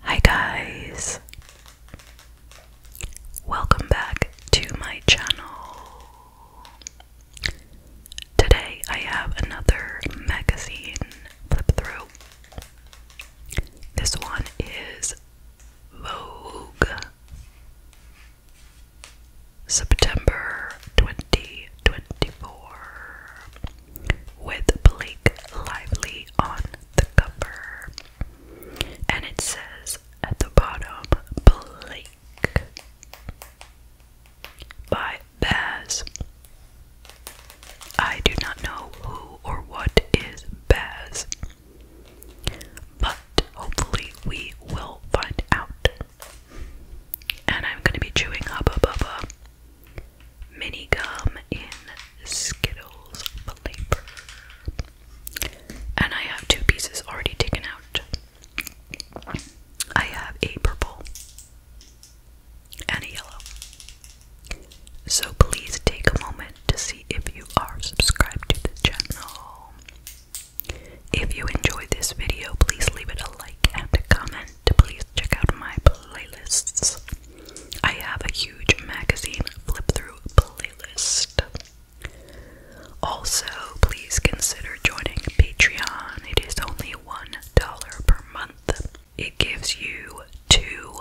Hi guys! Welcome back to my channel. Today I have another magazine flip through. This one is Vogue September 2024 with Blake Lively on the cover. And it says at the bottom, Blake by Baz. I do not know who or what is Baz, but hopefully we will find out. And I'm gonna be chewing Hubba Bubba mini gum in Skittles flavor. And I have two pieces already taken out. I have a purple and a yellow. So please take a moment to see if you are subscribed to the channel. If you enjoyed this video, please leave it a like and a comment. Please check out my playlists. I have a huge magazine flip through playlist. Also, please consider joining Patreon. It is only $1 per month. It gives you two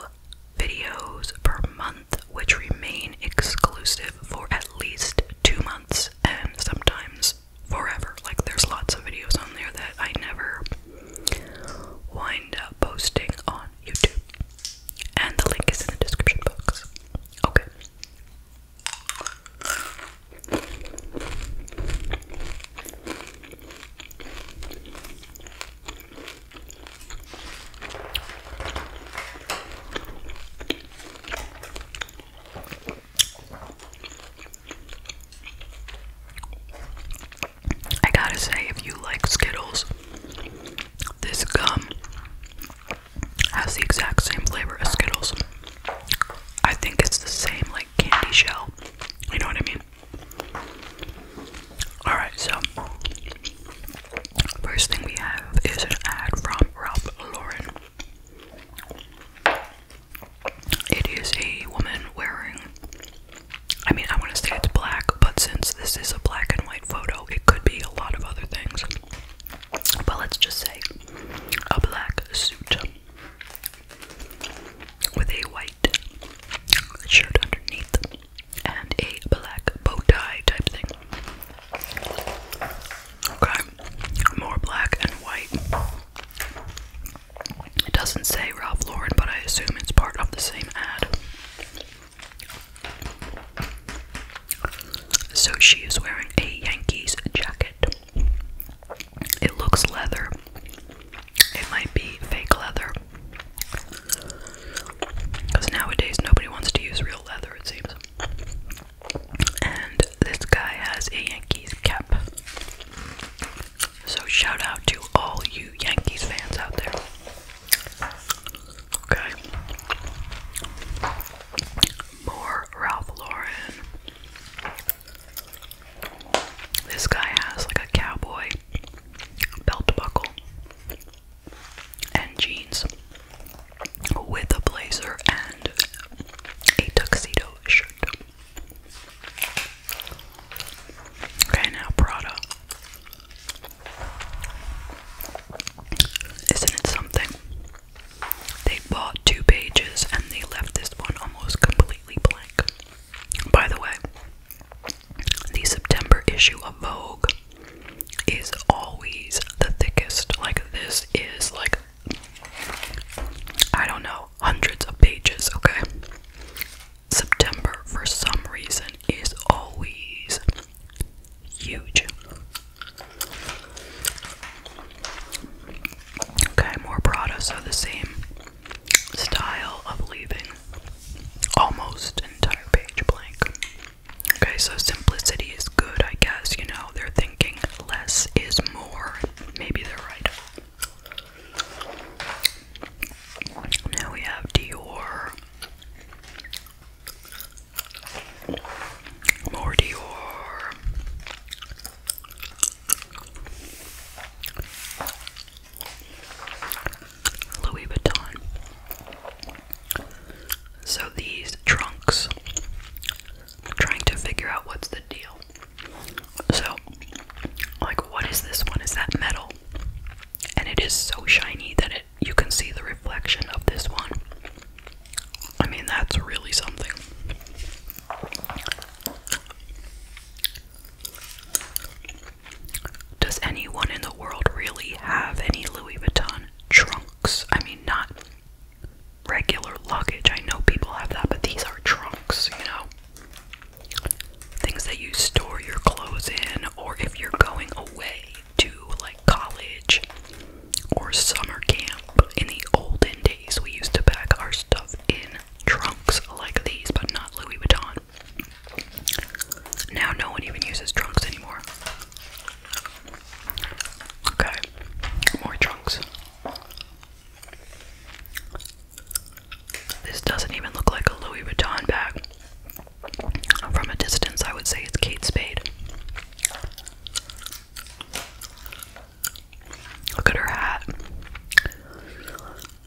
videos per month, which remain exclusive for at least two months and sometimes forever. Like, there's lots of videos on there that I never wind up posting on YouTube. And the link is in the description box. Okay. I gotta say, if you like Skittles, this gum has the exact same flavor as Skittles. I think it's the same, like candy shell. You know what I mean? Alright, so first thing we have is an ad from Ralph Lauren. It is a woman wearing I mean, I want to say it's black, but since this is a black and white photo, it could be a lot of other things. But let's just say a black suit with a white shirt underneath and a black bow tie type thing. Okay, more black and white. It doesn't say Ralph Lauren, but I assume it's part of the same ad. So she is wearing a Yankees jacket. It looks leather. It might be fake leather. Because nowadays nobody wants to use real leather, it seems. And this guy has a Yankees cap. So shout out to all you Yankees fans out there. Okay. More Ralph Lauren. This guy has like a cowboy belt buckle and jeans with a blazer and a tuxedo shirt. Okay, now Prada. Isn't it something? They bought two pages and they left this one almost completely blank. By the way, the September issue of Vogue is always the thickest. Like, this is like, I don't know, hundreds of pages, okay? September, for some reason, is always huge. Okay, more Prada, so the same style of leaving almost entire page blank. Okay, so simplicity is good, I guess. You know, they're thinking less is more. Maybe they're right. Now we have Dior. More Dior. Louis Vuitton. So these trunks, trying to figure out what's the deal. So, like, what is this one? Is that metal? and it is so shiny that it you can see the reflection of this one. I mean, that's really something. Does anyone in the world really have any Louis Vuitton trunks? I mean, not regular luggage. I know people have that, but these are trunks, you know? things that you store your clothes in, or if you're going away to like college or summer camp. In the olden days, we used to pack our stuff in trunks like these, but not Louis Vuitton. Now, no one even uses trunks anymore. Okay, more trunks. This doesn't even look like a Louis Vuitton bag. From a distance, I would say it's Kate Spade. Look at her hat.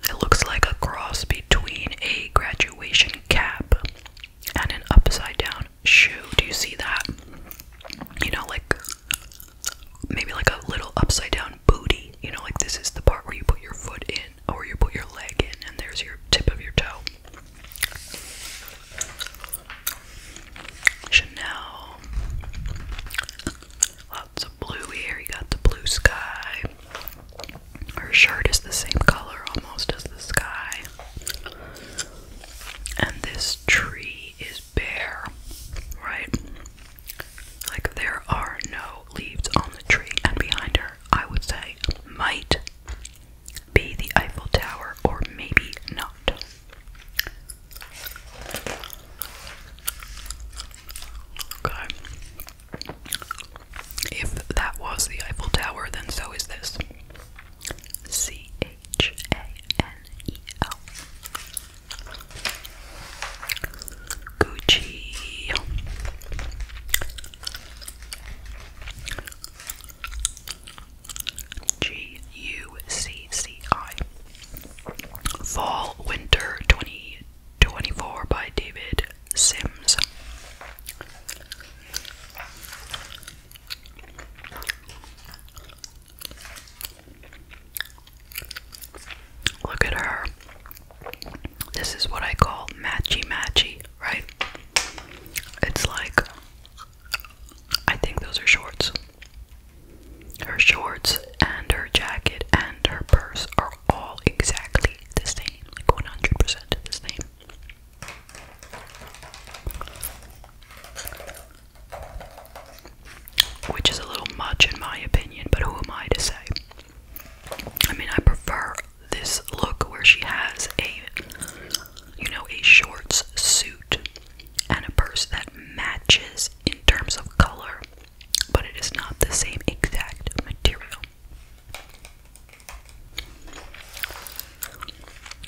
It looks like a cross between a graduation cap and an upside down shoe. Do you see that? You know, like maybe like a little upside down booty. You know, like this is the part where you put your foot in or you put your leg in, and there's your tip of your toe. Chanel. Lots of blue here. You got the blue sky. Her shirt is the same color almost as the sky. And this tree is bare, right? Like there are no leaves on the tree. And behind her, I would say, might be the Eiffel Tower, or maybe not. Okay. If that was the Eiffel Tower, then so is this. C H A N E L. Gucci. G U C C I. Fall Winter 2024 by David Sims. Look at her. This is what I call matchy matchy, right? It's like, I think those are shorts. Her shorts and her jacket and her purse are all exactly the same, like 100% the same. Which is a little much in my opinion, but who am I to say? I mean, I prefer this look where she has a you know a shorts suit and a purse that matches in terms of color but it is not the same exact material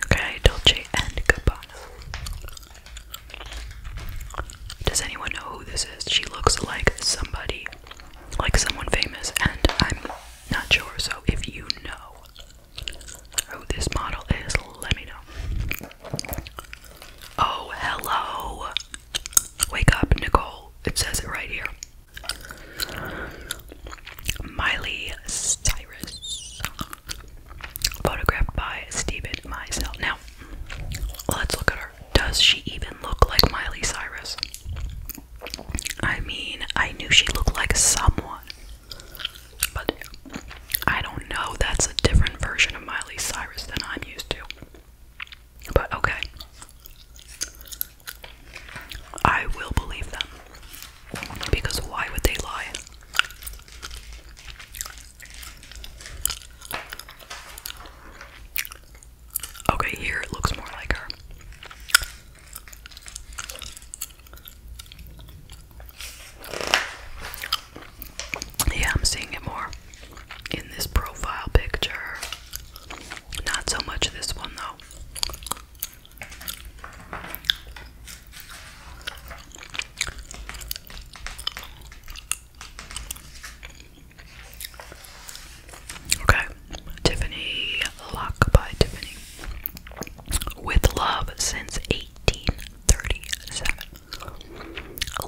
okay dolce and gabbana does anyone know who this is she looks like somebody like someone famous, and I'm not sure. So if you know who this model is, let me know. Oh, hello. Wake up, Nicole. It says it right here. Miley Cyrus. Photographed by Stephen Meisel. Now, let's look at her. Does she even look like Miley Cyrus? I mean, I knew she looked like someone, but I don't know. That's a different version of Miley Cyrus than I'm used to. But okay. I will believe them. Because why would they lie? Okay, here it looks more like her. Yeah, I'm seeing it more in this profile picture. Not so much this one though. Okay, Tiffany Lock by Tiffany. With love since 1837.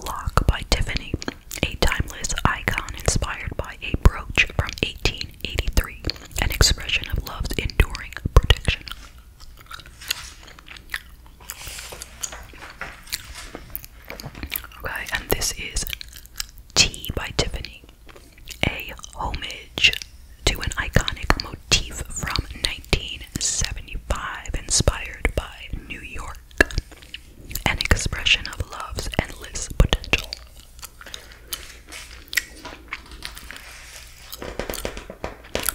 Lock by Tiffany, a timeless icon inspired by a brooch from 1883, an expression of love's enduring protection. Okay, and this is Tea by Tiffany a homage to an iconic motif from 1975 inspired by New York, an expression of love's endless potential.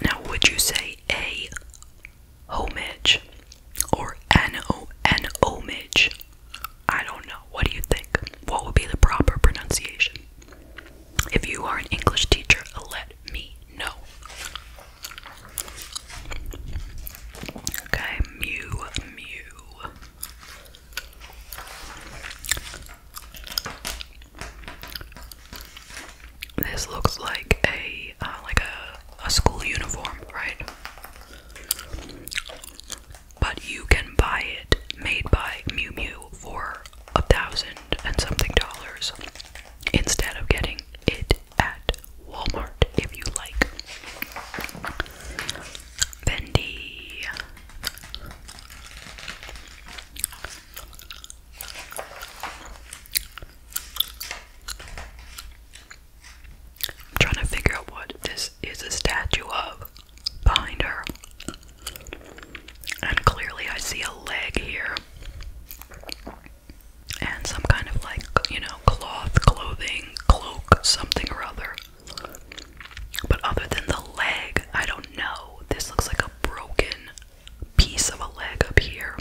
Now, would you say a homage or an, an homage I don't know. What do you think? What would be the proper pronunciation? If you are an English teacher, let me know. Okay, mew, mew. This looks like a uh, like a a school uniform, right? but you can buy it made by Mew Mew for a thousand and something dollars instead of getting it at Walmart if you like. Bendy. trying to figure out what this is a statue of behind her. And clearly, I see a leg here and some kind of like, you know, cloth, clothing, cloak, something or other. But other than the leg, I don't know. This looks like a broken piece of a leg up here.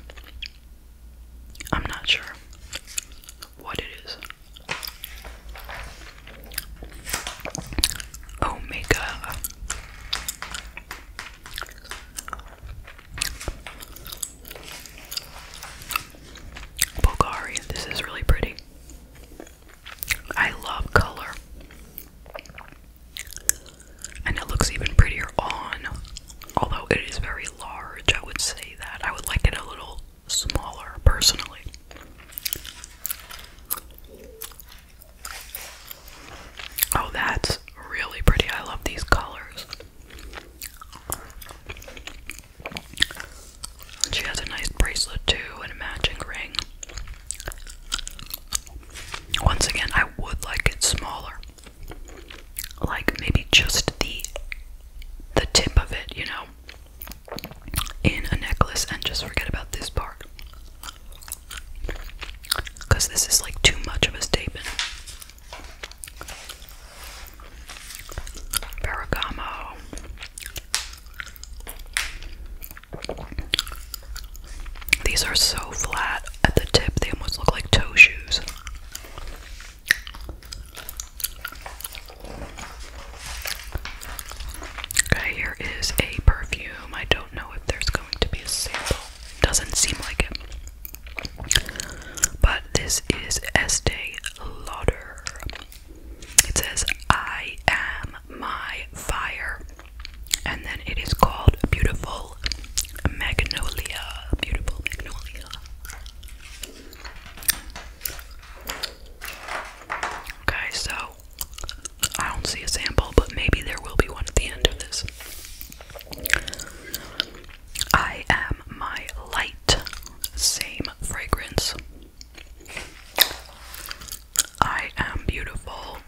I'm not sure what it is. Omega. Bulgari, this is really pretty. I love color. And it looks even prettier on, although it is very large. I would say that. I would like it a little smaller personally. Oh, that's really pretty. I love these colors. She has a nice bracelet too and a matching ring. Once again, I would like it smaller. Like maybe just the the tip of it, you know in a necklace and just forget about this part. Because this is like too much of a statement. Ferragamo. These are so flat at the tip, they almost look like toe shoes. Okay, here is a perfume. I don't know if there's going to be a sample. Doesn't seem like it. But this is Estee Lauder. It says, I am my fire. And then it is called Beautiful Magnolia. Beautiful Magnolia. Okay, so I don't see a sample, but maybe there will be one at the end of this. I am my light, same fragrance. I am beautiful.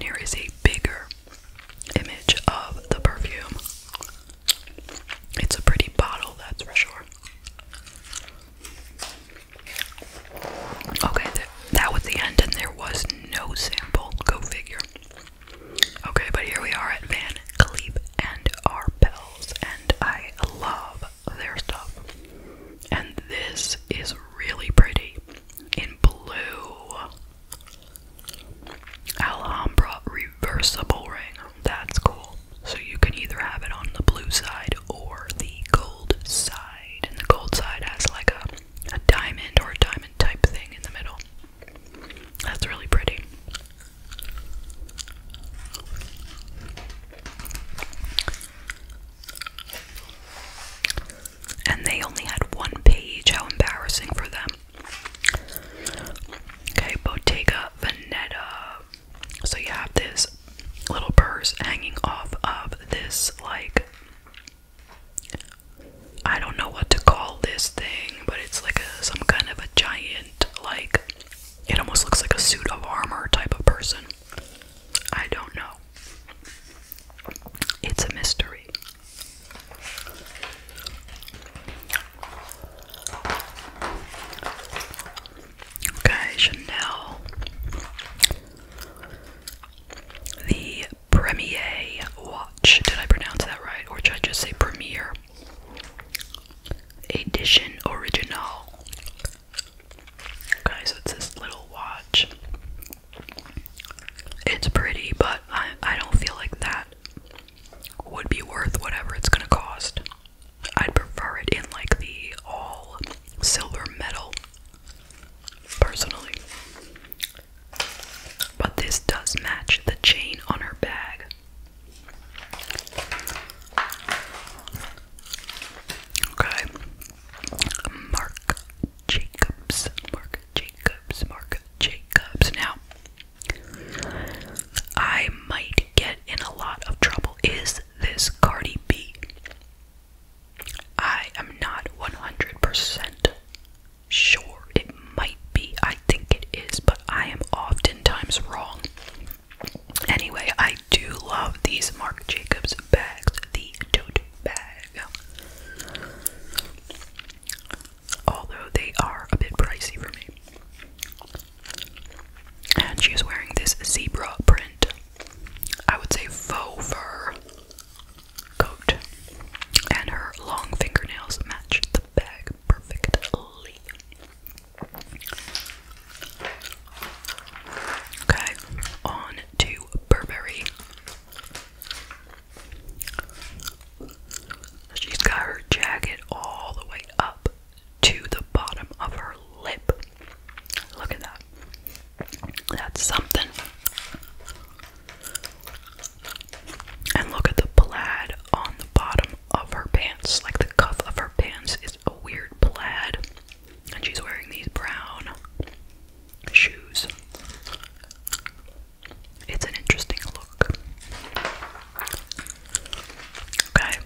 here is a bigger image of the perfume. It's a pretty bottle, that's for sure. Okay, that was the end, and there was no sample. Go figure. Okay, but here we are at Van Cleef and Arpels, and I love their stuff. And this is really pretty in blue. Alhambra reversible ring. That's cool. So you can either have it on the blue side or the gold side. And the gold side has like a, a diamond or a diamond type thing in the middle. That's really pretty. And they only had one page. How embarrassing for them. Okay, Bottega Veneta. So you have this little purse hanging off of this, like, I don't know what to call this thing, but it's like a, some kind of a giant, like, it almost looks like a suit of armor type of person. I don't know. It's a mystery. Okay, Chanel. The Premier watch. Did I pronounce that right? Or should I just say Premiere Edition Original. Okay, it's this little watch. It's pretty, but I, I don't feel like that would be worth whatever it's gonna cost. I'd prefer it in like the all silver metal personally. But this does match the chain on her bag. Okay. Mark Jacobs. Mark Jacobs. Mark Jacobs. Now, I might get in a lot of trouble. Is this Cardi B? I am not 100% sure. It might be. I think it is, but I am oftentimes wrong. Anyway, I do love these Marc Jacobs bags, the tote bag. Although they are a bit pricey for me and she is wearing this zebra print, I would say faux fur coat, and her long fingernails match the bag perfectly. Okay, on to Burberry. She's got her jacket all the way up to the bottom of her lip. Look at that. That's something. And look at the plaid on the bottom of her pants. Like the cuff of her pants is a weird plaid. And she's wearing these brown shoes. It's an interesting look. Okay.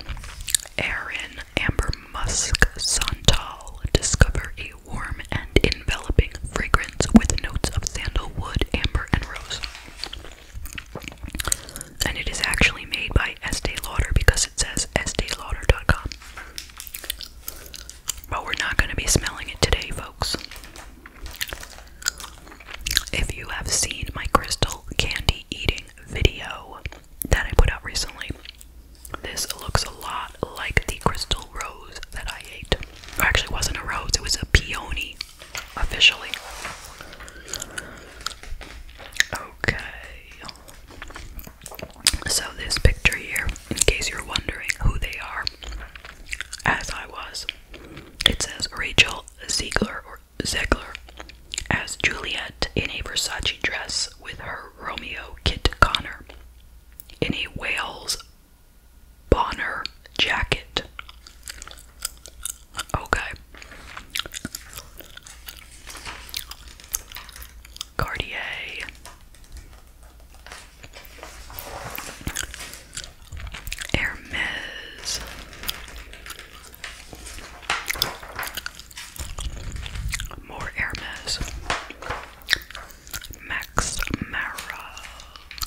Erin Amber musk santal discover a warm and enveloping fragrance with notes of sandalwood, amber, and rose. And it is actually made by Estee Lauder because it says esteelauder.com. But we're not going to be smelling it today, folks. If you have seen my crystal candy eating video, that I put out recently. This looks a lot like the crystal rose that I ate. Or actually wasn't a rose, it was a peony officially. Okay. So this picture here, in case you're wondering who they are, as I was, it says Rachel Ziegler or as Juliet in a Versace dress with her Romeo Kit Connor in a Wales Bonner jacket. Okay. Cartier. Hermes. More Hermes. Max Mara.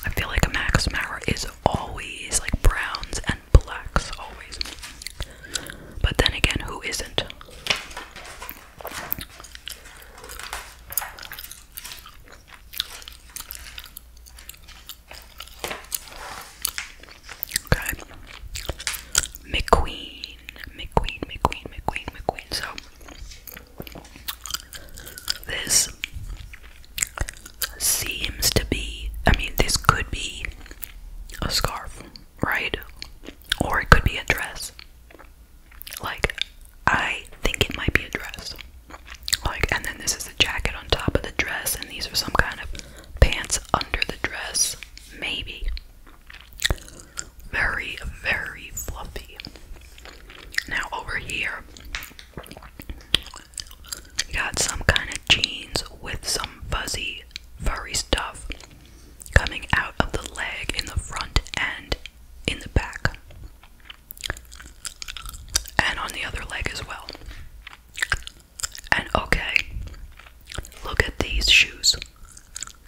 I feel like Max Mara is always like browns and blacks, always. But then again, who isn't? Okay. McQueen. McQueen, McQueen, McQueen, McQueen. So this seems to be I mean this could be a scarf, right? Or it could be a dress. Like I think it might be a dress. Like and then this is the jacket on top of the dress and these are some kind of pants under the dress. Maybe. Very, very fluffy. Now, over here, got some kind of jeans with some fuzzy, furry stuff coming out of the leg in the front and in the back, and on the other leg as well. And okay, look at these shoes.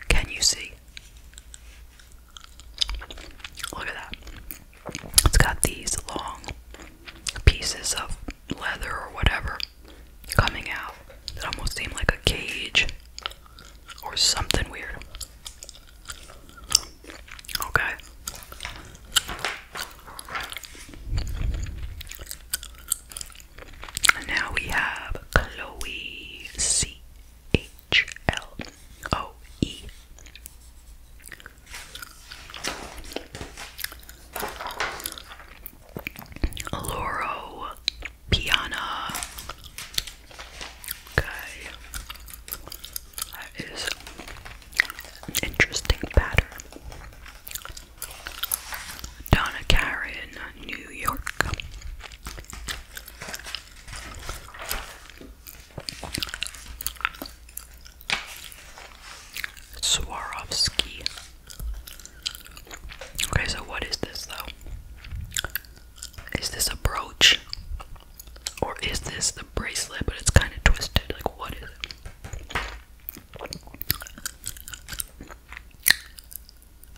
Can you see? Look at that. It's got these long pieces of leather or whatever coming out that almost seem like a cage or something weird. Okay. Now we have Chloe C H L O E. Loro Piana. Okay. That is an interesting pattern. Donna Karen, New York. Swarovski. Okay, so what is this though? Is this a brooch? Or is this the bracelet but it's kind of twisted? Like, what is it?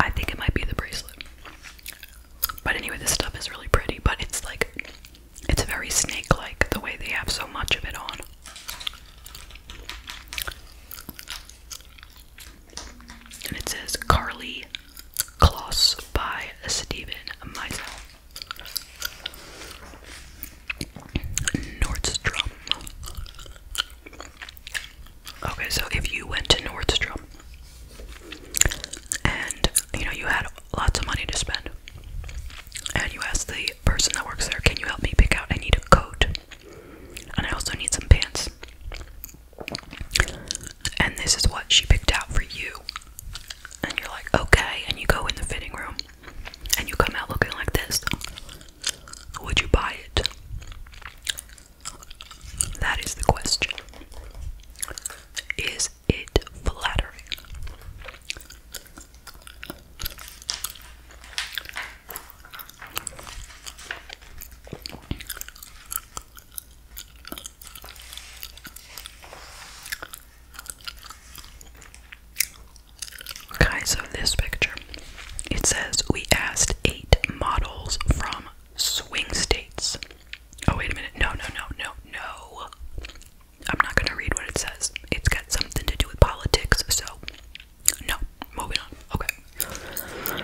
I think it might be the bracelet. But anyway, this stuff is really pretty, but it's like it's very snake like the way they have so much of it on. And it says Carly Kloss by Stephen Meisel. Nordstrom. Okay, so if you went to Nordstrom and you know you had lots of money to spend, and you asked the person that works there, Can you help me pick out? I need a coat, and I also need some pants. And this is what she picked out for you. And you're like, Okay, and you go in the fitting room and you come out looking like this. Would you buy it? That is the question. Is it flattering? Okay, so this picture it says we asked eight models from swing states. Oh, wait a minute. No, no, no, no, no. I'm not going to read what it says. It's got something to do with politics, so no. Moving on. Okay.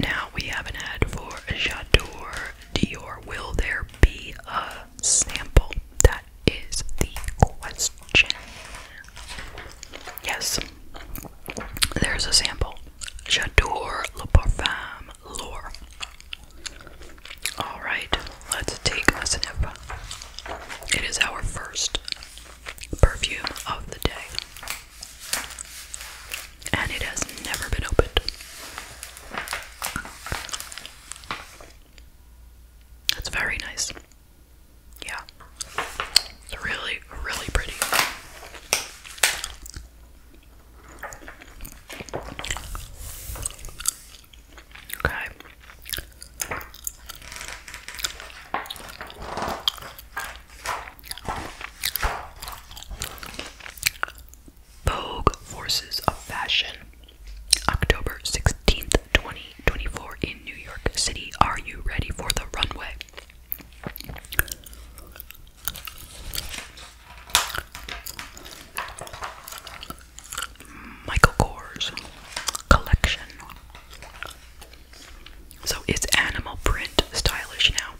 Now we have an ad for J'adore Dior. Will there be a sample? That is the question. Yes. There's a sample. J'adore le parfum lore. Alright, let's take a sniff. It is our first perfume of the day. And it has never been opened. That's very nice. Yeah. It's really, really pretty. Okay. Vogue Forces of Fashion, October 16th, 2024, in New York City. Are you ready for the runway? Michael Kors collection. So it's animal print stylish now.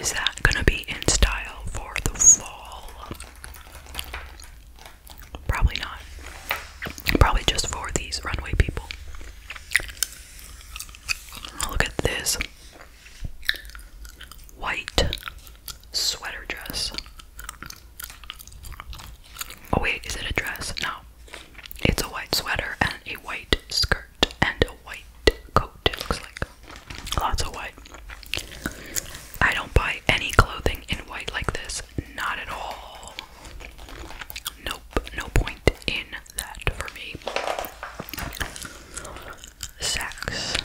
Is that gonna be in style for the fall? Probably not. Probably just for these runway people. Look at this white sweater dress. Oh, wait, is it a dress? No. It's a white sweater and a white skirt and a white coat, it looks like. Lots of white. I don't buy any clothing in white like this, not at all. Nope, no point in that for me. Sax.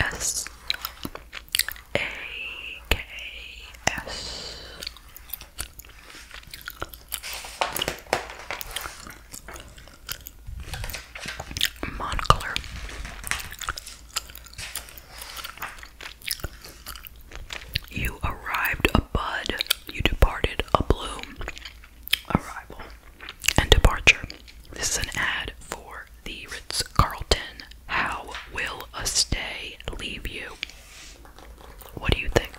S A K S Monocolor you arrived a bud, you departed a bloom. Arrival and departure. This is an ad for the Ritz Carlton. How will a stay leave you? What do you think?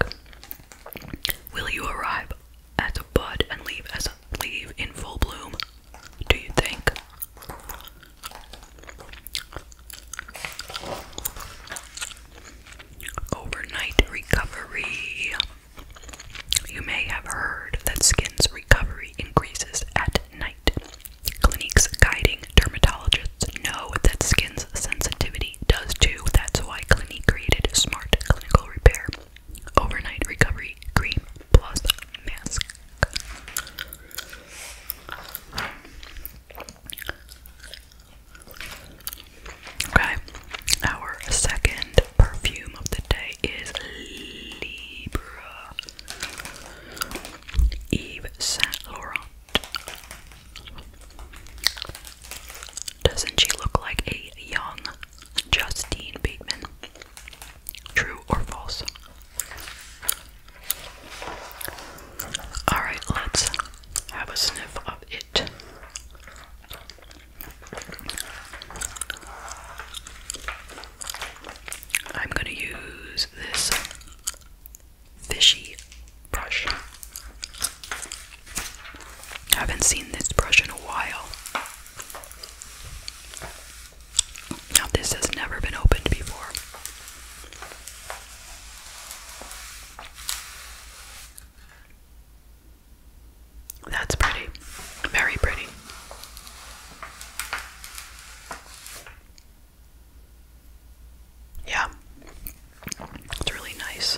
Will you arrive as a bud and leave as a leave in full bloom? do you think? Overnight recovery. You may have heard that skin's recovery increases at night. Clinics guiding dermatologists know that skin's sensitivity does too. That's why Clinique created Smart Clinical Repair Overnight Recovery Cream Plus Mask. Okay, our second perfume of the day is Libra Eve Saint Laurent. Doesn't she look like a young Justine Bateman? True or false? Alright, let's have a sniff of it. I'm going to use this fishy brush. I haven't seen this brush in a while. Now, this has never been opened before. That's pretty. Very pretty. Yeah. It's really nice.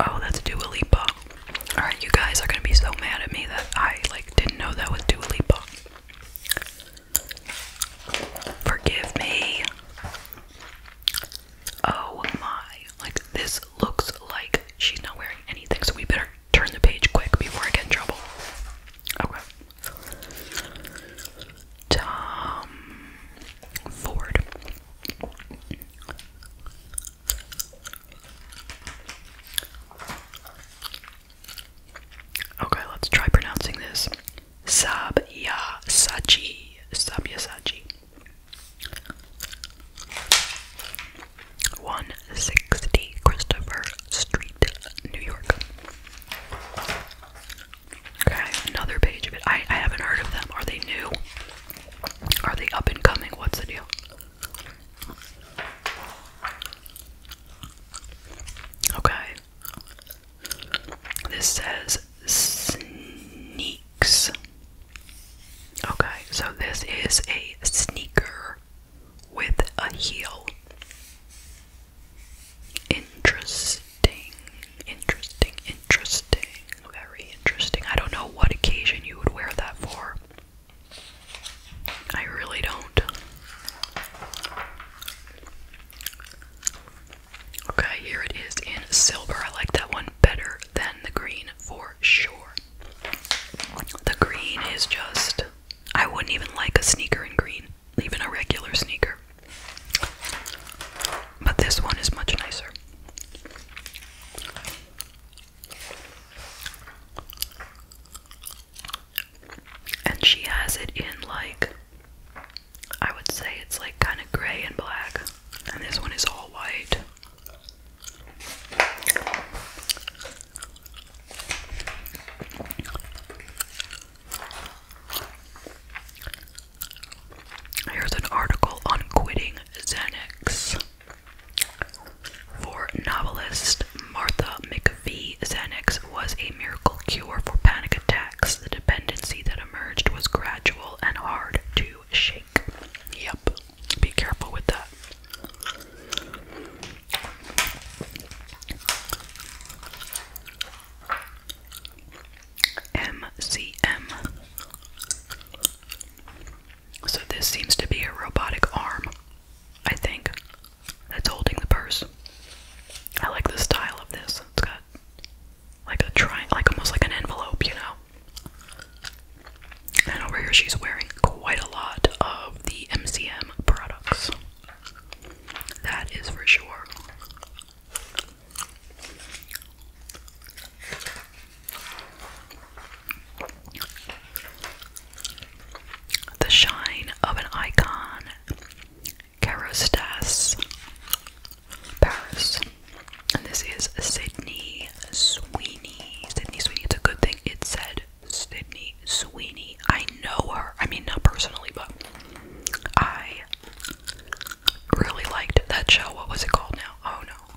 Oh, that's Dua Lipa. Alright, you guys are gonna be so mad at me that I like didn't know that was Dua Lipa. Forgive me. Oh my. Like this looks like she's not wearing anything, so we better turn the page quick before I get in trouble. Okay. Tom Ford. Okay, let's try pronouncing this. Sabya Sachi. Sabya Sachi. One sixty Christopher Street, New York. Okay, another page of it. I I haven't heard of them. Are they new? Are they up and coming? What's the deal? Okay. This says sneaks. Okay, so this is a sneaker with a heel. Interesting, interesting, interesting. Very interesting. I don't know what occasion you would wear that for. I really don't. Okay, here it is in silver. I like that one better than the green for sure. The green is just. I wouldn't even like a sneaker in green, even a regular sneaker. But this one is much nicer. And she has it in like, I would say it's like kind of gray and black, and this one is all white. Here's an article on quitting Xanax. For novelist Martha McVie, Xanax was a miracle cure for panic attacks. The dependency that emerged was gradual and hard to shake. Yep, be careful with that. MCM so this seems to be a robotic arm, I think, that's holding the purse. I like the style of this. It's got like a tri like almost like an envelope, you know. And over here she's wearing quite a lot of the MCM products. That is for sure. The shine of an icon, Kerostas, Paris. And this is Sydney Sweeney. Sydney Sweeney, it's a good thing it said Sydney Sweeney. I know her. I mean, not personally, but I really liked that show. What was it called now? Oh no.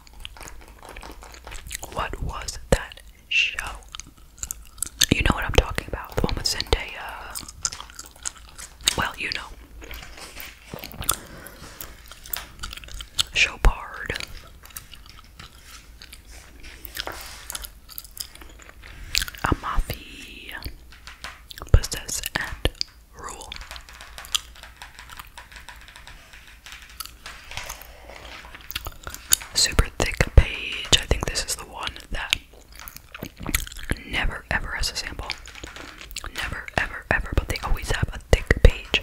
What was that show? You know what I'm talking about. The one with Zendaya. Well, you know. Chopard. Amafi. Possess and rule. Super thick page. I think this is the one that never ever has a sample. Never ever ever, but they always have a thick page.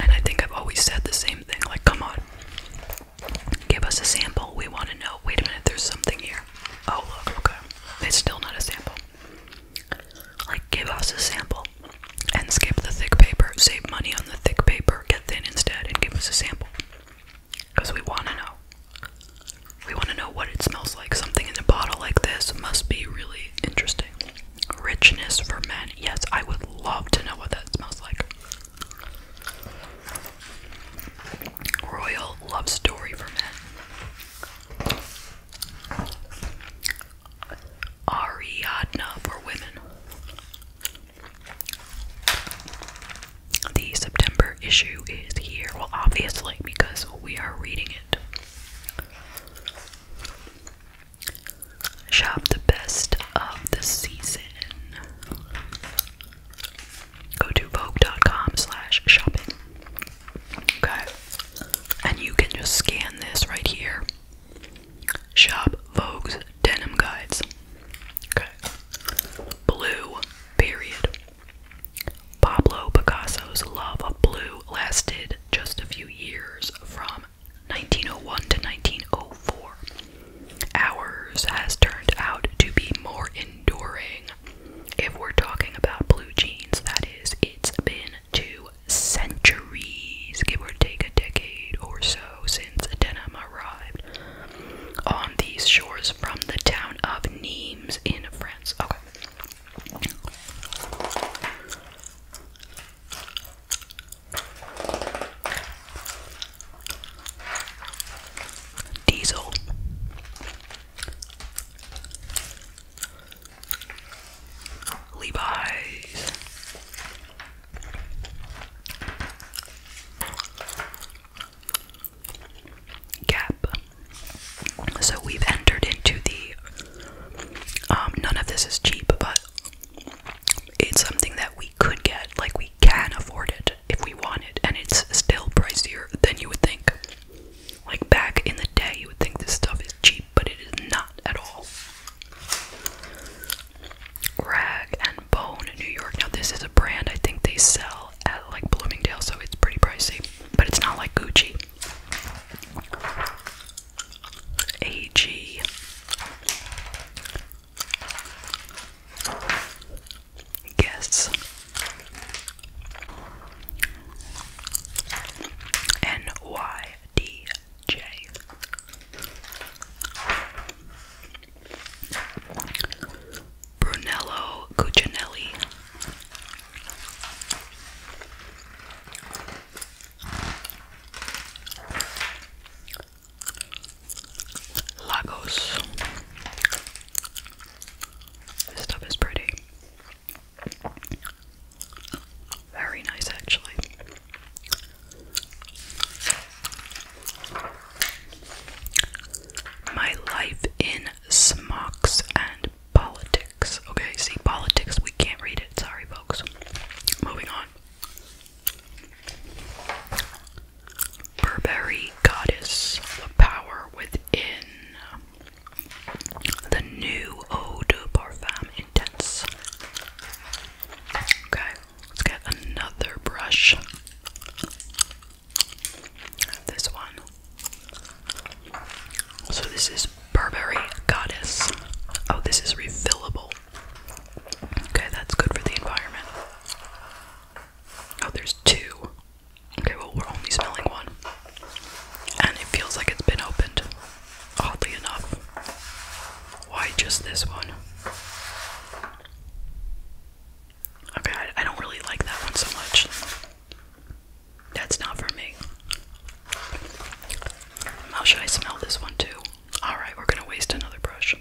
And I think I've always said the same thing like, come on, give us a sample. We want to know. Wait a minute, there's something here. Oh, look, okay. It's still not a sample. Like, give us a sample and skip the thick paper, save money on the thick paper, get thin instead, and give us a sample. Because we want to know. We want to know what it smells like. Something in a bottle like this must be really interesting. Richness for men. Yes, I would love to know what that smells like. Royal love story for men. Ariadna for women. The September issue is here. Well, obviously, because we are reading it. Shop the best of the season. Go to Vogue.com slash shopping. Okay. And you can just scan this right here. Shop Vogue's Denim Guides. Okay. Blue, period. Pablo Picasso's love of blue lasted just a few years from 1901 to 1904. Ours has turned out to be more enduring. If we're talking about blue jeans, that is, it's been to centuries, give or take a decade or so since denim arrived on these shores from the town of Nimes in France. Okay. Diesel Levi's. Gap. So we've entered into the. Um, none of this is cheap, but it's something that we could get. Like, we can afford it if we want it, and it's still pricier than you would think. Like, back in the day, you would think this stuff is cheap, but it is not at all. Rag and Bone New York. Now this is a brand I think they sell at like Bloomingdale, so it's pretty pricey. But it's not like Gucci. AG. Guess. NY DJ. Brunello Cucinelli. Lagos. This stuff is pretty. Very nice, actually. My life in smocks and politics. Okay, see, politics, we can't read it. Sorry, folks. Moving on. Burberry Goddess, the power within. The new eau de parfum intense. Okay, let's get another brush. This one. So this is Burberry Goddess. Oh, this is refillable. Okay, that's good for the environment. Oh, there's two. Okay, well, we're only smelling one. And it feels like it's been opened, oddly enough. Why just this one? Okay, I, don't really like that one so much. That's not for me. How should I smell this one too? Alright, we're gonna waste another brush.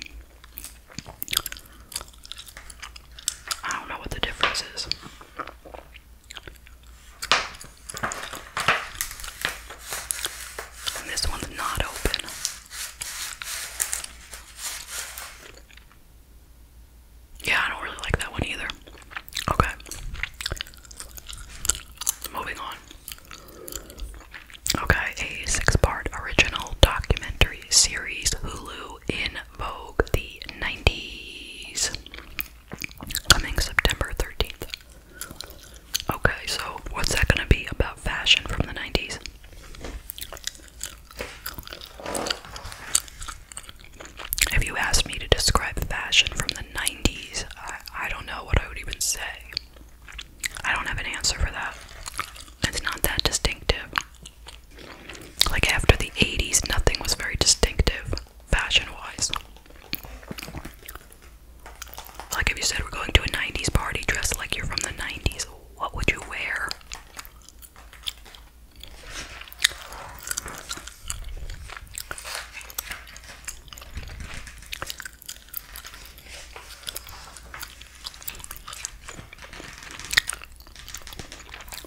I don't know what the difference is this one's not open. Yeah, I don't really like that one either. Okay. Moving on. Okay, a six part original documentary series, Hulu in Vogue the 90s, coming September 13th. Okay, so what's that gonna be about fashion from the 90s? If you asked me to describe fashion from the 90s, I, don't know what I would even say. I don't have an answer for that. It's not that distinctive. Like after the 80s, nothing was very distinctive fashion wise. Like if you said we're going to a 90s party dressed like you're from the 90s, what would you wear?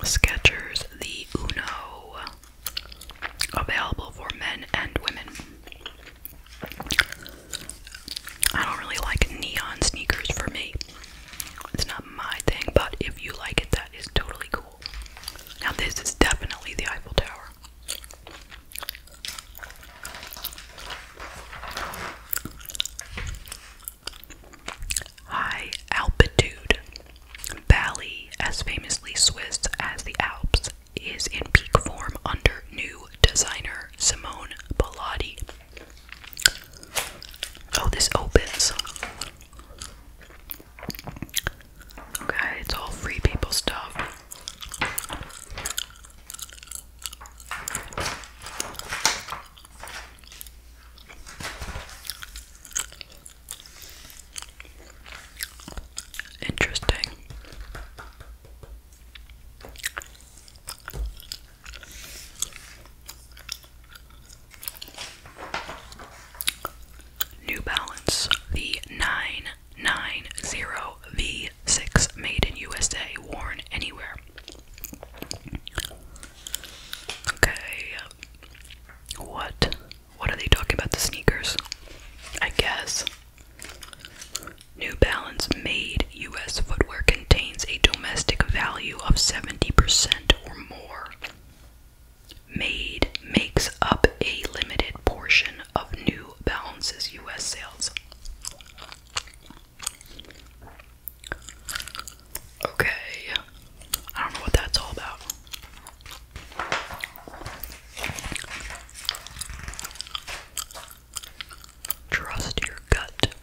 Skechers, the Uno, available for men and women. I don't really like neon sneakers for me. It's not my thing, but if you like it, that is totally cool. Now, this is definitely the Eiffel Tower. High altitude. Valley, as famously Swiss as the Alps, is in peak form under new designer Simone Bilotti. Oh, this opens. Okay, it's all free people stuff. Interesting. New Balance the 990V6 made in USA worn anywhere. Okay. What what are they talking about? The sneakers? I guess. New Balance made US footwear contains a domestic value of 70% or more. Made makes up a limited portion of New Balance's US sales. Okay. I don't know what that's all about. Trust your gut.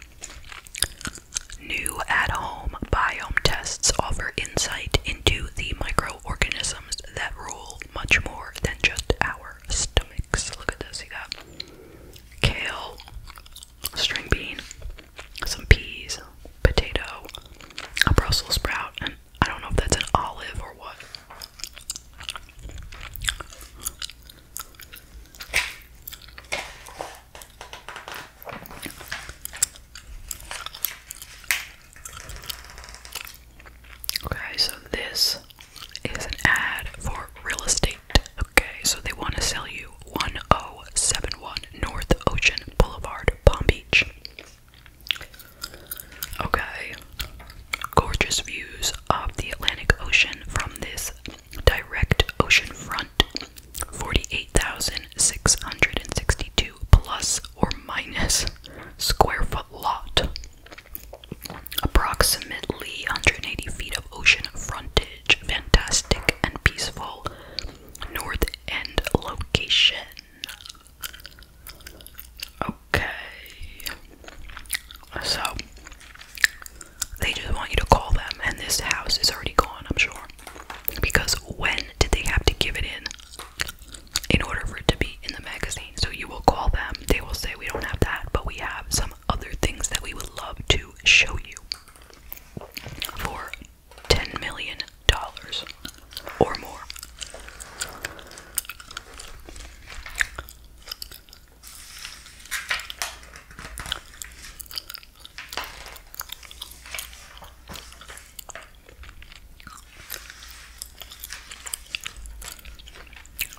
New at home biome tests offer insight into the microorganisms that rule much more than just our stomachs. Look at this, you got kale, string bean, some peas, potato, a Brussels sprout, and I don't know if that's an olive or what. Okay, so this is an ad for real estate. Okay, so they want to sell you 1071 North Ocean Boulevard, Palm Beach. Okay. Gorgeous views of the Atlantic Ocean from this direct ocean front 48,662 plus or minus square foot lot. Approximately 180 feet of ocean frontage. Fantastic and peaceful north end location. Okay. So they just want you to call them and this house is already gone, I'm sure. Because when did they have to give it in in order for it to be in the magazine? So you will call them. They will say we don't have that, but we have some other things that we would love to show you for 10 million dollars or more.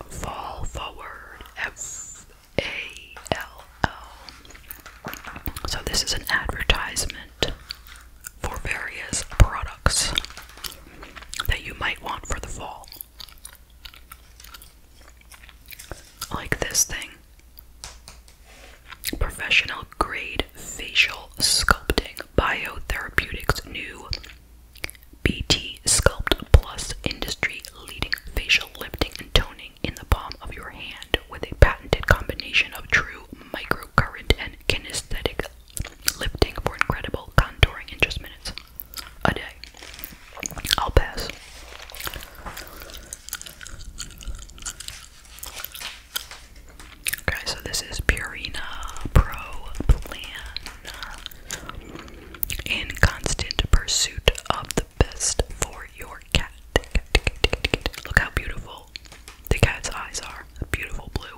Fall forward, F A L L. So, this is an advertisement for various products that you might want for the fall. Like this thing Professional Grade Facial Sculpting Biotherapeutics New BT Sculpt Plus Industry Leading Facial Lifting and Toning in the palm of your hand with a patented combination of true microcurrent and kinesthetic Lifting for incredible contouring in just minutes. A day. I'll pass. Okay, so this is Purina Pro Plan. In constant pursuit of the best for your cat. Look how beautiful the cat's eyes are. Beautiful blue.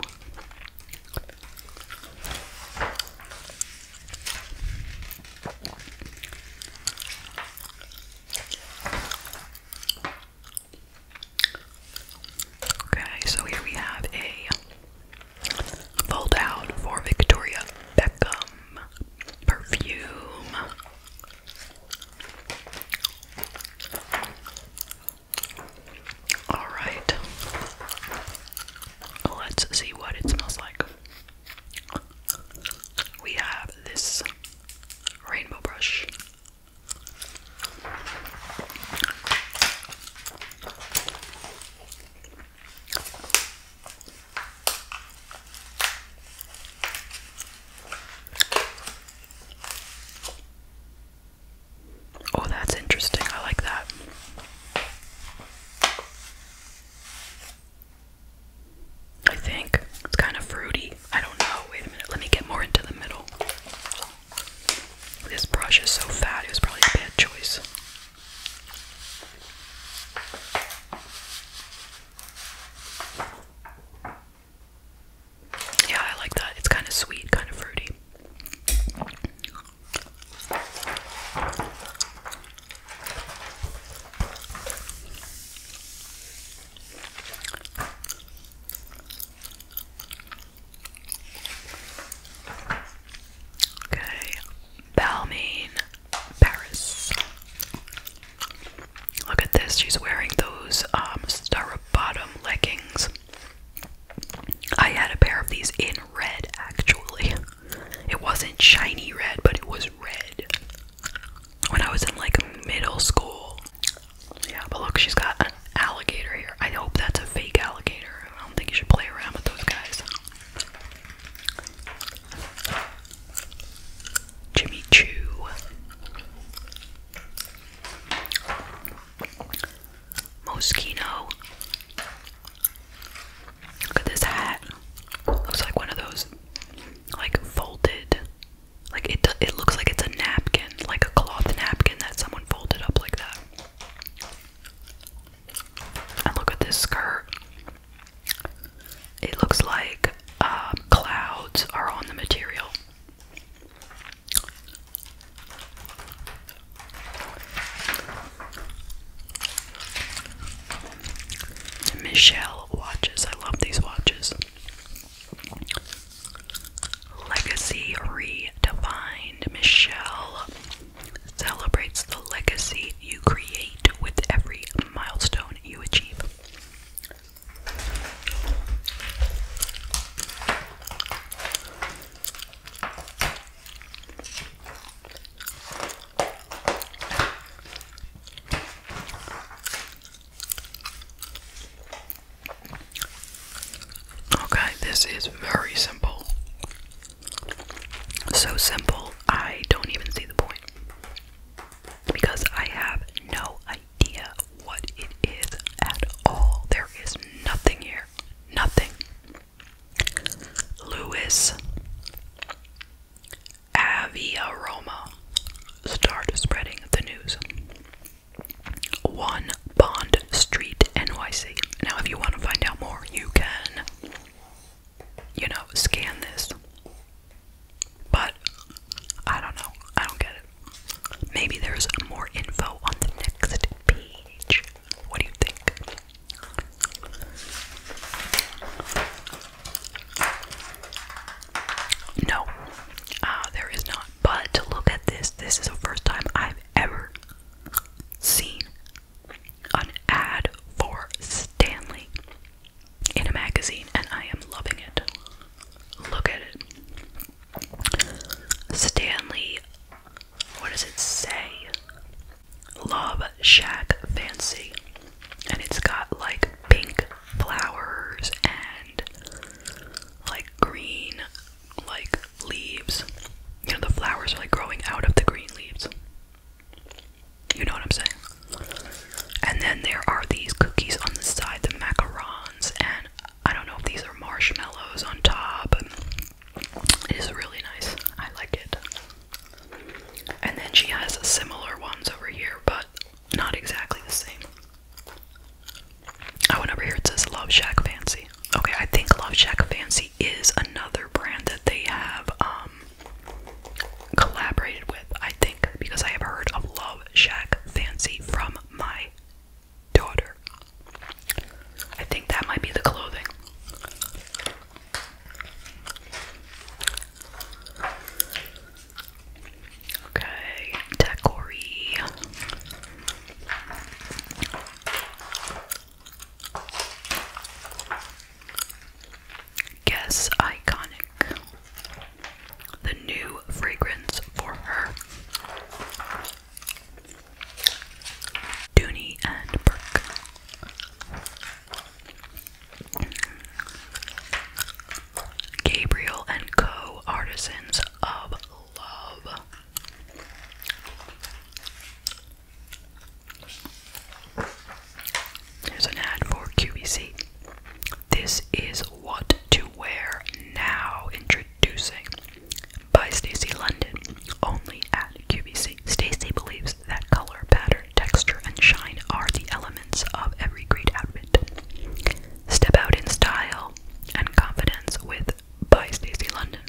Okay, so here we have a foldout for Victoria Beckham perfume. Alright. Let's see what it smells like. We have this rainbow brush. Oh, that's interesting. I like that. I think it's kind of fruity. I don't know. Wait a minute. Let me get more into the middle. This brush is so fat, it was probably a bad choice. Yeah, I like that. It's kind of sweet, kind of fruity. Okay, Balmain, Paris. Look at this, she's wearing those um star bottom leggings. I had a pair of these in red actually. It wasn't shiny red, but it was red. When I was in like middle school. Yeah, but look, she's got an alligator here. I hope that's a fake alligator. I don't think you should play around with those guys. Jimmy Choo. Moschino. Look at this hat. Looks like one of those, like folded, like it. It looks like it's a napkin, like a cloth napkin that someone folded up like that. And look at this skirt. It looks like um, clouds are on the material. Michelle watches. I love these watches. Legacy redefined. Michelle celebrates the legacy you create with every milestone you achieve. Okay, this is very simple. So simple, I don't even see the point. Because I have no idea what it is at all. There is nothing here nothing. Louis Aviaroma started spreading the news. 1 Bond Street, NYC. Now, if you want to find out more, you can, you know, scan this. But I don't know. I don't get it. Maybe there's more info on the next page. What do you think? No, uh, there is not. But look at this, this is the first time I've ever seen an ad for Stanley in a magazine, and I am loving it. Look at it. Stanley what does it say? Love Shack Fancy. And it's got like pink flowers and like green like leaves. You know the flowers are like growing out of the green leaves. You know what I'm saying? And then there are these cookies on the side, the macarons and I don't know if these are marshmallows on top. It is really nice. I like it. And then she has similar ones over here, but not exactly the same. I oh, went over here it says Love Shack Fancy. Okay, I think Love Shack Fancy is another brand that they have um, collaborated with, I think, because I have heard of Love Shack Fancy from my daughter. I think that might be the clothing. Okay, Takori. Guess iconic. The new fragrance for her. Dooney and Burke. Gabriel and Co. Artisans of Love. Here's an ad for QVC. This is what to wear now. Introducing by Stacy London, only at QVC. Stacy believes that color, pattern, texture, and shine are the elements of every great outfit. Step out in style and confidence with by Stacy London,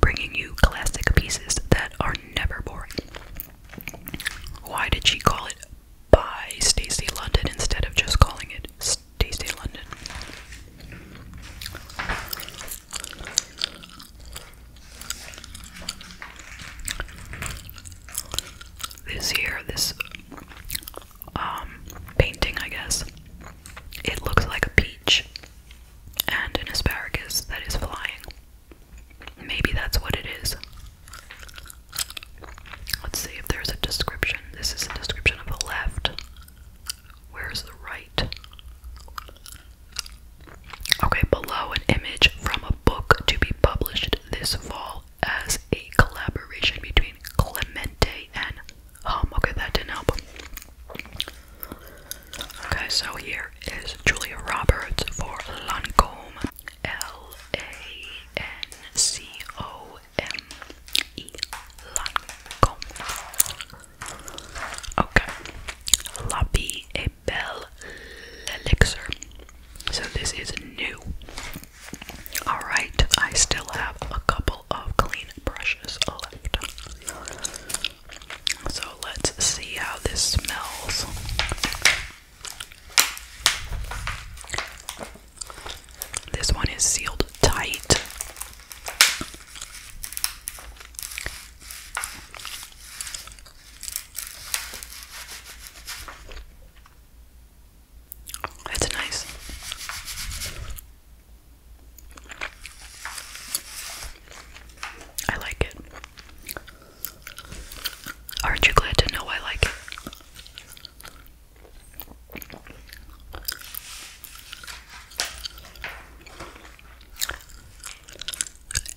bringing you classic pieces that are never boring. Why did she call it by Stacy London instead of just calling it? Tuesday London. This here, this um, painting, I guess, it looks like a peach and an asparagus that is flying. Maybe that's what it is. Let's see if there's a description. This is a description of a left. Where's the right? Okay, below an image from a book to be published this fall as a collaboration between Clemente and Hum. Okay, that didn't help. Okay, so here is Julia Roberts for Lancome. L A N C O M E Okay, Labie et Belle Elixir. So this is new. Alright, I still have a couple of clean brushes left. So let's see how this smells. This one is sealed tight. That's nice. I like it. Aren't you glad to know I like it?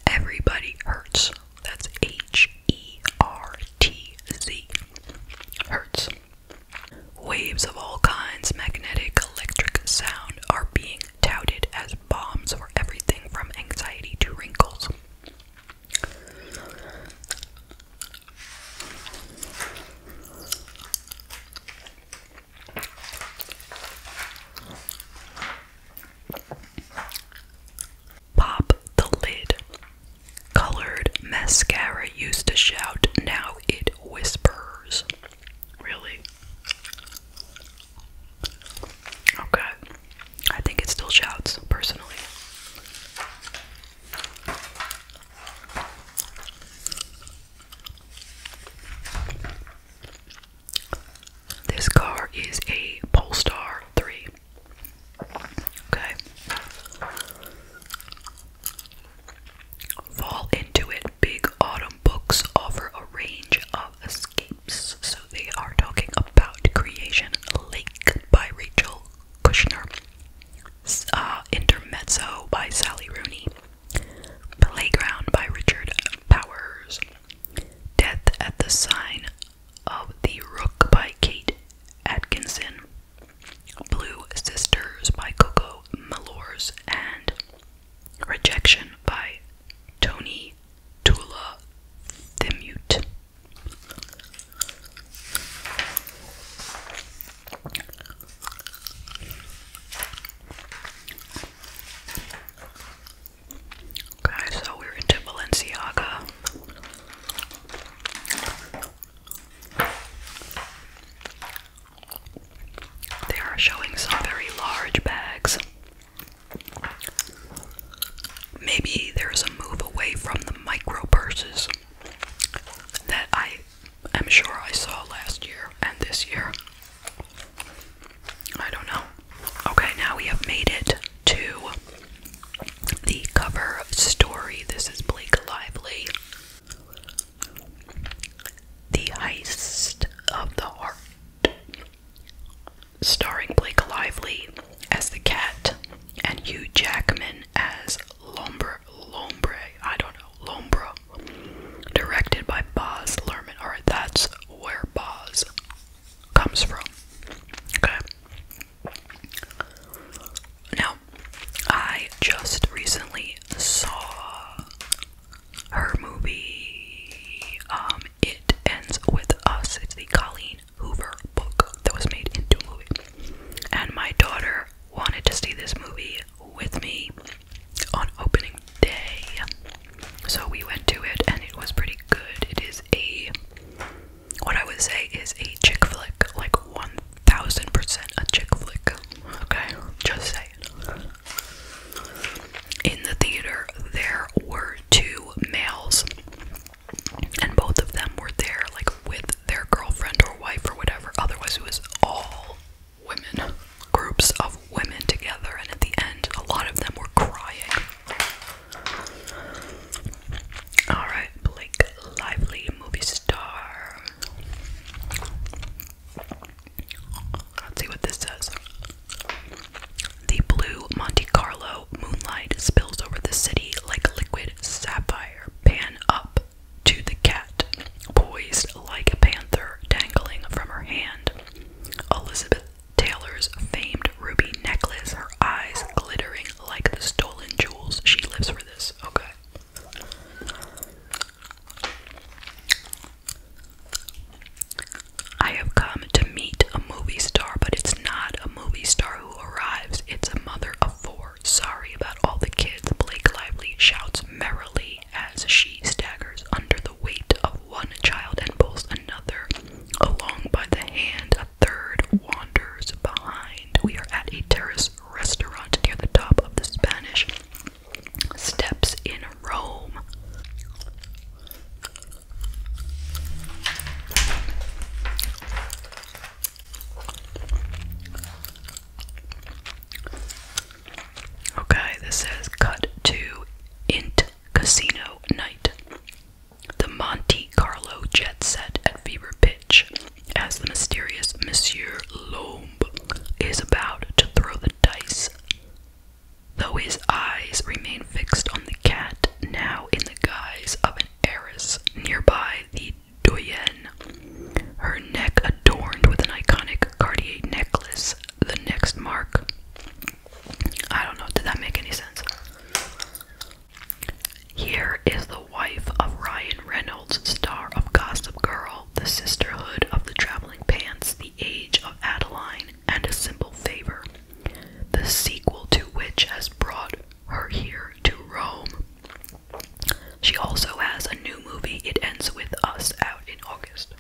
Everybody hurts. That's H E R T Z. Hertz. Waves of all kinds, magnetic, electric, sound, are being touted as bombs for everything from anxiety to wrinkles. Pop the lid. Colored mascara used to shout, now it whispers. Really? Okay. I think it still shouts, personally. This car is a Polestar 3. Okay. Fall into it. Big Autumn Books offer a range of escapes. So they are talking about Creation Lake by Rachel Kushner, uh, Intermezzo by Sally Rooney, Playground by Richard Powers. Death at the Sign of the Rook by Kate Atkinson. Blue Sisters by Coco Malores and Rejection by Tony Tula mute. Okay, so we're into Balenciaga. They are showing some very large bags. Maybe there's a move away from the micro purses that I i am sure I saw last year and this year. I don't know. Okay, now we have made it to the cover story. This is Blake Lively. The Heist of the Heart. Starring Blake Lively as the cat and Hugh Jackman as Lombre, Lombre, I don't know, lombre. directed by Boz Lerman. Alright, that's where Boz comes from. Okay. Now, I just recently saw her movie, um, It Ends With Us. It's the Colleen Hoover book that was made into a movie. And my daughter wanted to see this movie with me on opening day. So we went to it and it was pretty good. It is a what I would say is a chick flick, like 1000% a chick flick. Okay, just saying. In the theater, there were two males, and both of them were there, like with their girlfriend or wife or whatever. Otherwise, it was all women, groups of women together, and at the end, a lot of them were crying. Alright, Blake Lively, movie star. Let's see what this says. The blue Monte Carlo moonlight spills over the city like liquid sapphire. Pan up, to the cat, poised like a panther dangling from her hand. Elizabeth Taylor's famed ruby necklace, her eyes glittering like the stolen jewels. She lives for this. Okay. I have come to meet a movie star, but it's not a movie star who arrives. It's a mother of four. Sorry about all the kids. Blake Lively shouts merrily as she staggers under the weight of one child and pulls another along by the hand. A third wanders behind. We are at a terrace restaurant near the top of the Spanish steps in Rome. Okay, this says cut to Int Casino Night. The Monte Carlo jet set at fever pitch as the mysterious Monsieur Lombe is about to throw the dice. Though his eyes remain fixed on the cat, now in the guise of an heiress, nearby the Doyen her neck adorned with an iconic Cartier necklace, the next mark. I don't know, did that make any sense? Here is the wife of Ryan Reynolds, star of Gossip Girl, the sisterhood of the traveling pants, the age of Adeline, and a simple favor, the sequel to which has brought her here to Rome. She also has a new movie, It Ends With Us, out in August.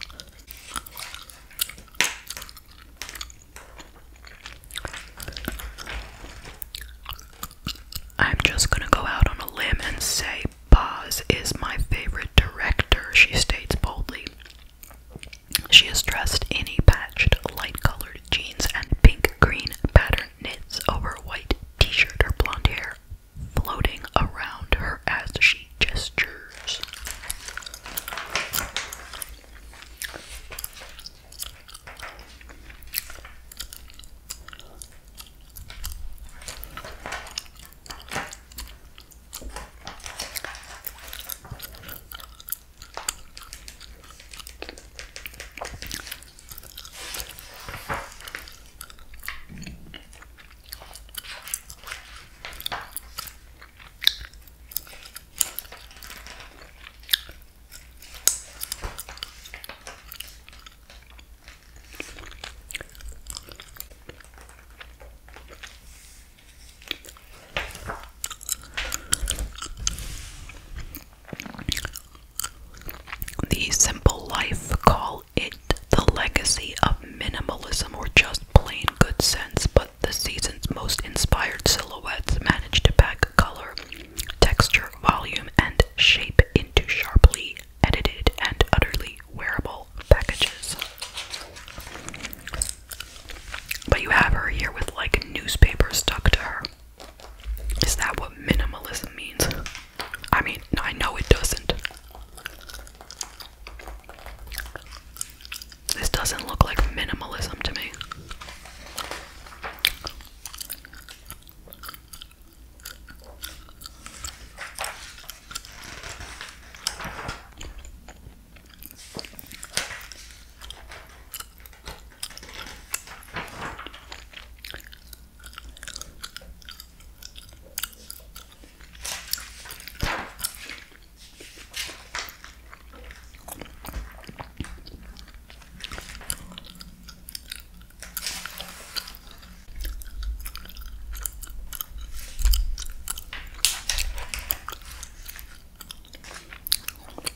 I'm just gonna go out on a limb and say Boz is my favorite director, she states boldly. She is dressed in a patched, light colored jeans and pink green pattern knits over a white t shirt. Her blonde hair floating around her as she gestures. The Simple Life Call It the legacy of minimalism or just plain good sense, but the season's most inspired silhouettes manage to pack color, texture, volume, and shape into sharply edited and utterly wearable packages. But you have her here with like newspapers stuck to her. Is that what minimalism means? I mean, I know it doesn't. This doesn't look like minimalism to me.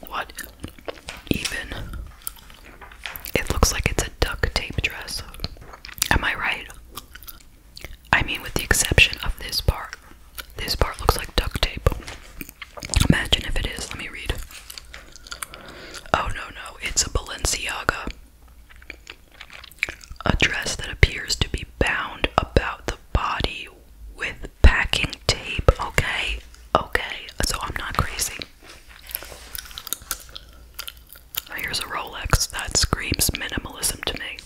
What even? It looks like it's a duct tape dress. Am I right? I mean, with the exception of this part. This part looks like duct tape. Imagine if it is. Let me read. Oh no, no, it's a Balenciaga. A dress that appears to be bound about the body with packing tape. Okay, okay, so I'm not crazy. Oh, here's a Rolex. That screams minimalism to me.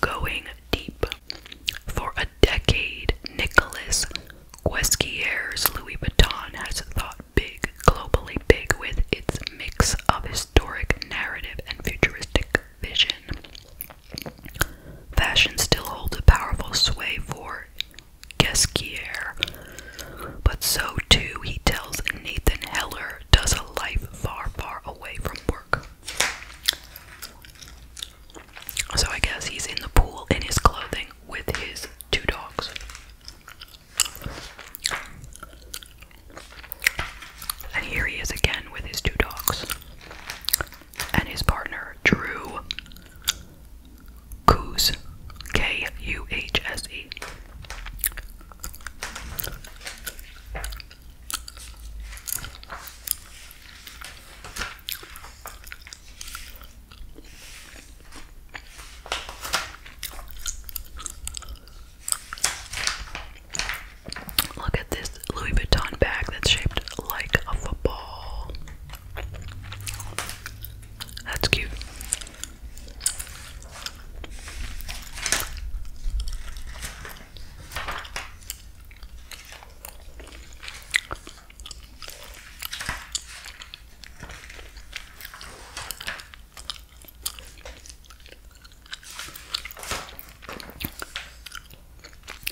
Going deep. For a decade, Nicholas Guesquier's Louis Vuitton has thought big, globally big, with its mix of historic narrative and futuristic vision. Fashion still holds a powerful sway for Gesquier, but so too, he tells Nathan Heller, does a life far, far away from work. So I guess he's in the pool in his clothing with his two dogs. And here he is again with his two dogs and his partner Drew Kuhs, K U H S E. Look at this Louis Vuitton bag that's shaped like a football. That's cute.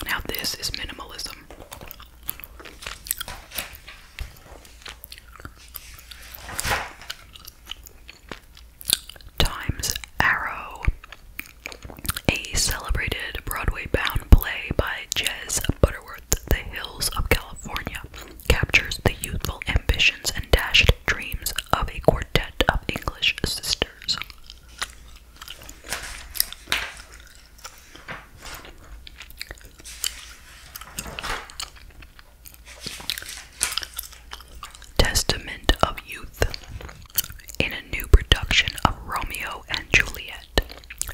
Now, this is minimalism. Times Arrow, a celebrated Broadway bound play by Jez Butterworth, The Hills of California, captures the youthful ambitions and dashed dreams of a quartet of English sisters. Testament of Youth. In a new production of Romeo and Juliet,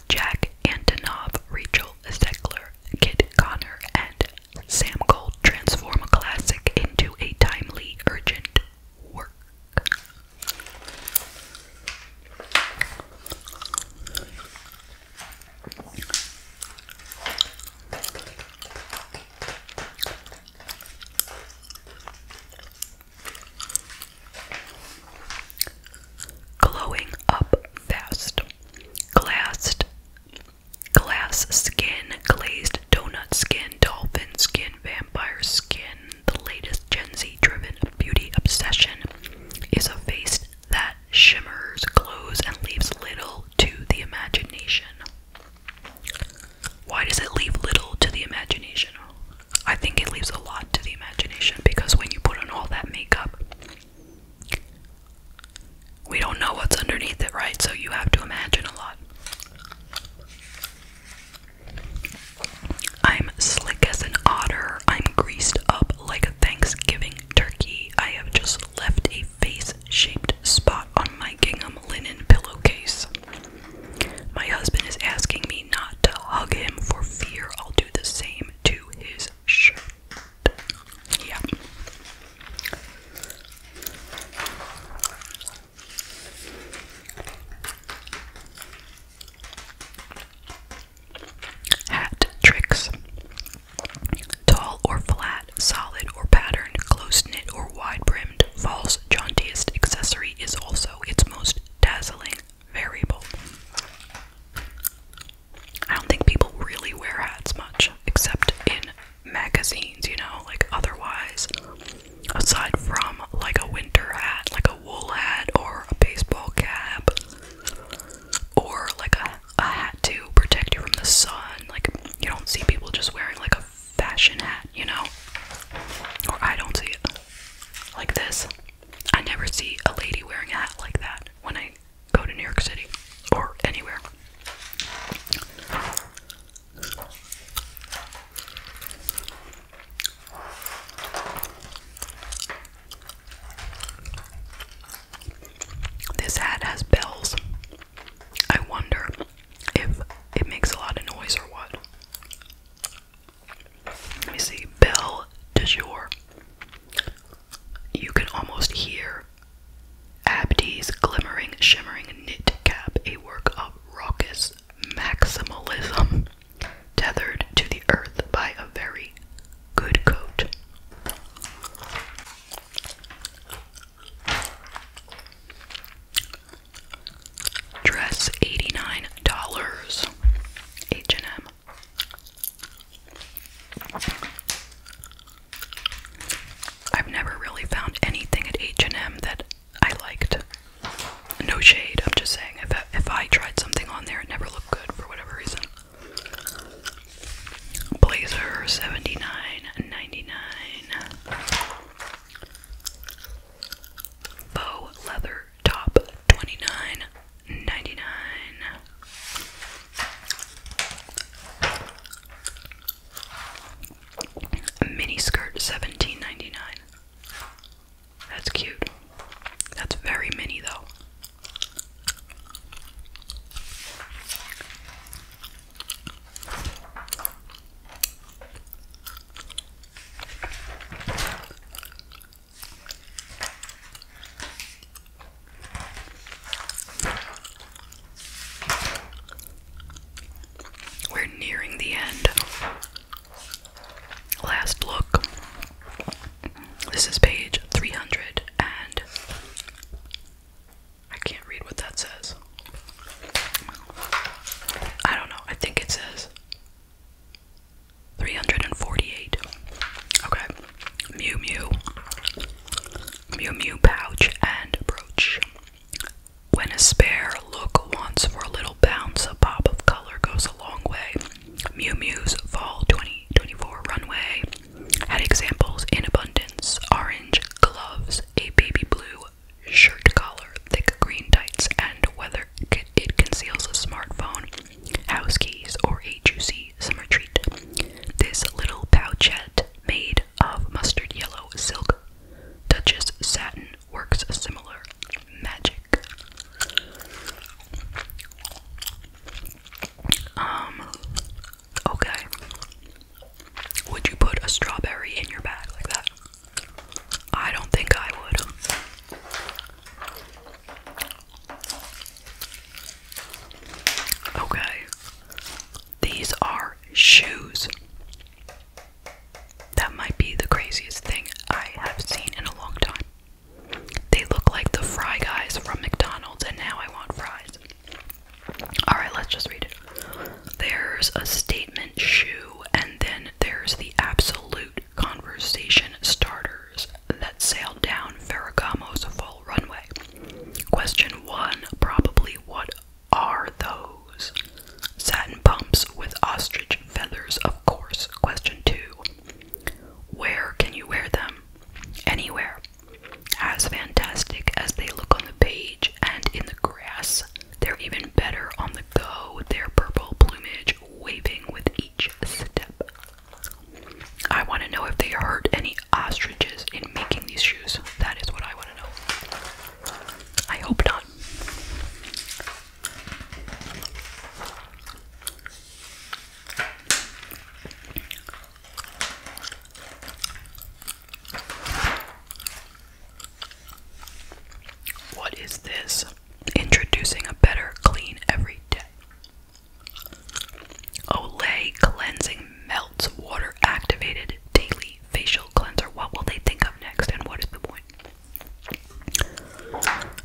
Jack Antonoff, Rachel Zegler, Kit Connor, and Sam Gold transform a classic into a timely, urgent work. Glowing up fast. Glassed. Glass skin, glazed donut skin, dolphin skin, vampire skin, the latest Gen Z driven beauty obsession is a face that shimmers, glows, and leaves little to the imagination. Why does it leave little to the imagination? I think it leaves a lot to the imagination because when you put on all that makeup, we don't know what's underneath it, right? So you have to imagine a lot. I'm slick as an otter. I'm greased up like a Thanksgiving turkey. I have just left a face shaped spot on my gingham linen pillowcase. My husband is asking me not to hug him for fear I'll do the same to his shirt. Yeah. Hat tricks. Tall or flat, solid or patterned, close knit or wide brimmed, false jauntiest accessory is also its most dazzling variable. I don't think people really wear hats much, except in magazines, you know, like otherwise. Aside from like a winter hat, like a wool hat or a baseball cap or like a, a hat to protect you from the sun. Like, you don't see people just wearing like a fashion hat, you know? Or I don't see it like this. I never see a lady wearing a hat like that when I go to New York City or anywhere. This hat has bells. I wonder if it makes a lot of noise or what. Let me see. Bell de jour. You can almost hear Abdi's glimmering, shimmering knit cap, a work of raucous maximalism tethered to the earth by a very good coat. Dress $89. H&M. I've never really found anything at H&M that I liked. No shade, I'm just saying, if I, if I tried something on there, it never looked good for whatever reason. Blazer, seventy nine ninety nine. Bow leather top, twenty nine ninety nine. Mini skirt, seventeen ninety nine. That's cute. That's very mini, though. We're nearing the end. Last look. This is page 300 and I can't read what that says. I don't know. I think it says 348. Okay. Mew Mew. Mew Mew pouch and brooch. When a spare look wants for a little bounce, a pop of color goes a long way. Mew Mew's Fall 2024 runway had examples in abundance orange gloves, a baby blue shirt collar, thick green tights, and whether it conceals a smartphone, house keys, or a juicy summer treat. This little pouchette made of mustard yellow silk, Duchess satin, works a similar magic. Um, okay. Would you put a strawberry in your bag like that? I don't think I would. Okay. These are shoes. That might be the craziest thing I have seen in a long time. They look like the fry guys from McDonald's, and now I want fries. Alright, let's just read it. There's a statement shoe, and then there's the absolute conversation starters that sailed down Ferragamo's full runway. Question one probably what are those? Satin pumps with ostrich feathers, of course. Question two where can you wear them? Anywhere. As fantastic as they look on the page and in the grass, they're even better on the go, their purple plumage waving with each step. I want to know if they hurt any ostriches in making these shoes. That is what I want to know. I hope not. What is this? Introducing a better clean every day. Olay Cleansing Melts Water Activated Daily Facial Cleanser. What will they think of next and what is the point?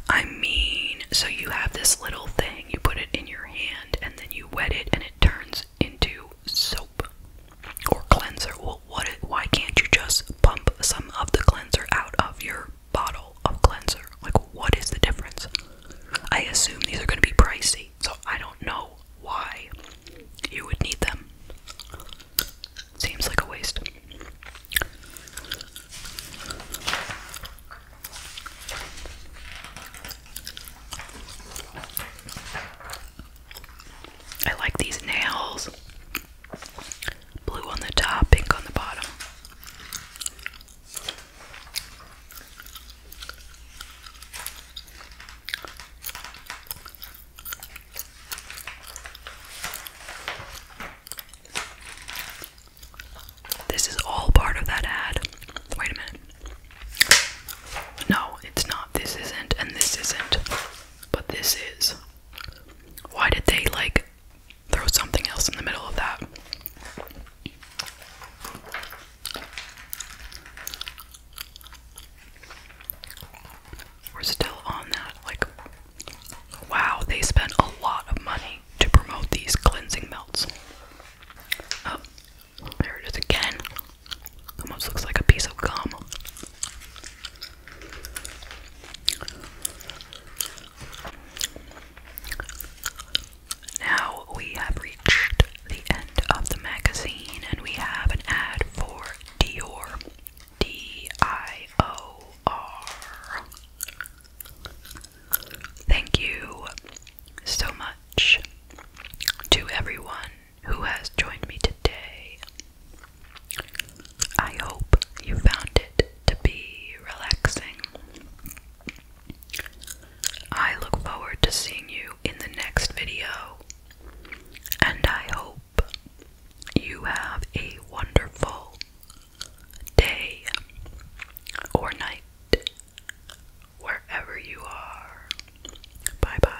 I mean, so you have this little thing, you put it in your hand, and then you wet it, and it turns into soap or cleanser. Well, what? why can't you just pump some of the cleanser out of your bottle of cleanser? Like, what is the difference? I assume these are going to be pricey, so I don't know why you would need them. Seems like a waste. I like these nails. Blue on the top, pink on the bottom. This is all part of that ad. Wait a minute. No, it's not. This isn't, and this isn't. But this is. Why did they, like, throw something else in the middle of that? We're still on that, like, Wow, they spent a lot of money to promote these cleansing melts. Oh, there it is again. Almost looks like a piece of gum. Now we have reached the end of the magazine and we have an ad for Dior. D I O R. Thank you so much to everyone who has joined me today. I hope you found it to be relaxing. I look forward to seeing you in the next video, and I hope you have a wonderful day or night, wherever you are. Bye bye.